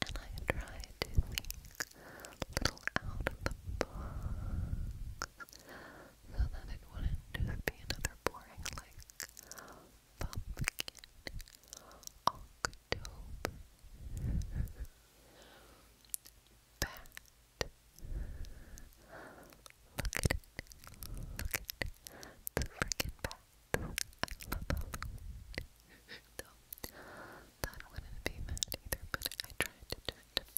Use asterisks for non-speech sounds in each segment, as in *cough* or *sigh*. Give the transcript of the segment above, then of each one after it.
And I try to think a little out of the box so that it wouldn't just be another boring, like, pumpkin October *laughs* bat Look at it, look at it, the freaking bat love Halloween. so, that wouldn't be bad either, but I tried to do it,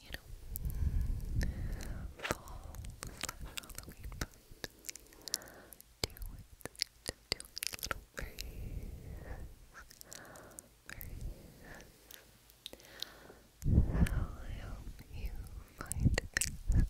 you know, fall slash Halloween Do it, do, do it, little breeze, I hope you find things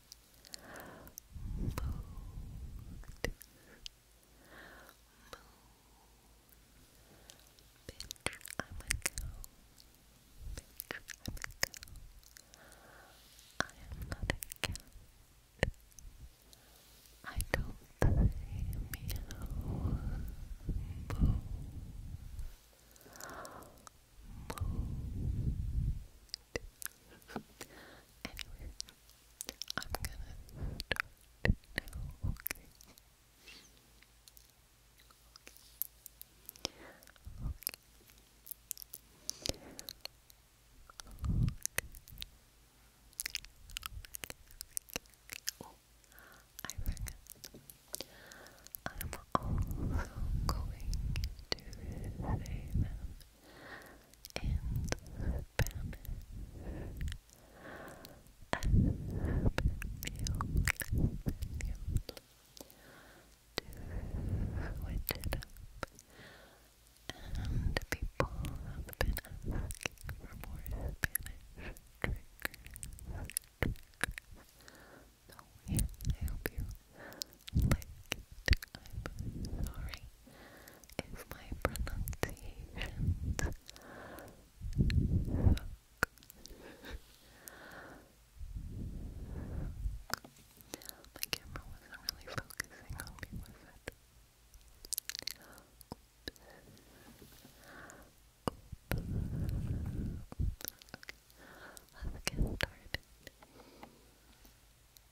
Mood. Mood. I'm a cow. I'm a cow. I am not a cat. I don't say Anyway, I'm gonna start now, okay? Okay. Okay. Okay. Okay. Oh, I forgot. I'm also going to save an in Spanish. Español, Español. To switch it And people have been asking for more So yeah, I hope you licked. i my pronunciations suck. camera wasn't really focusing on me, was it? let's get started.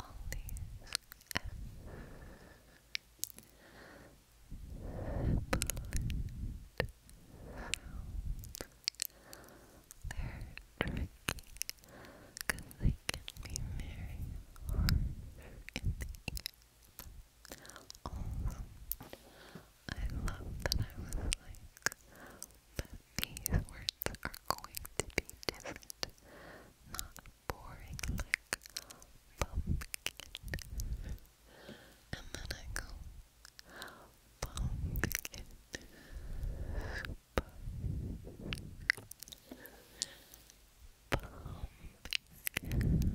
all these they're tricky they can be very I love that I was like, but these were parts are going to be different, not boring like pumpkin. And then I go pumpkin pumpkin Pumpkin,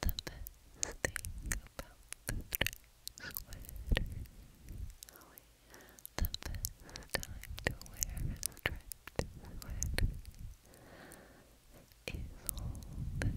the best thing about the dress sweater. The best time to wear a striped sweater is all the time.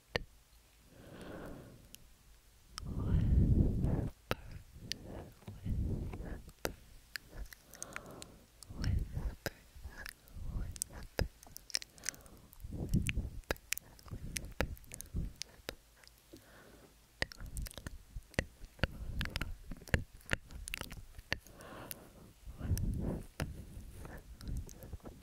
whisper, whisper. Whispers, whispers, whispers, whispers, whispers. Whispers,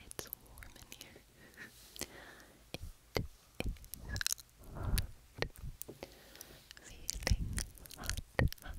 It's warm in here. *laughs* It is hot. Feeling hot, hot,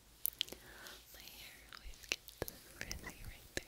My hair always gets frizzy right there.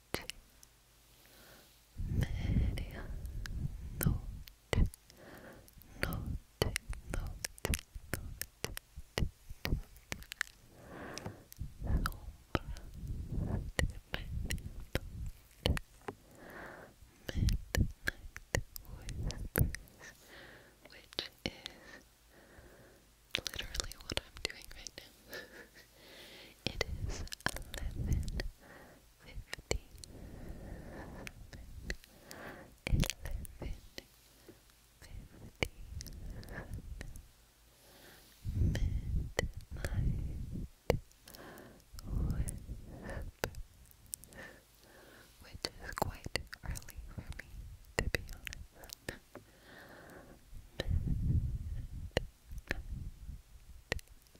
notte, notte, notte, notte, sombra midnight whispers, which is literally what I'm doing right now. It is eleven fifty seven. Midnight Which is quite early for me, to be honest.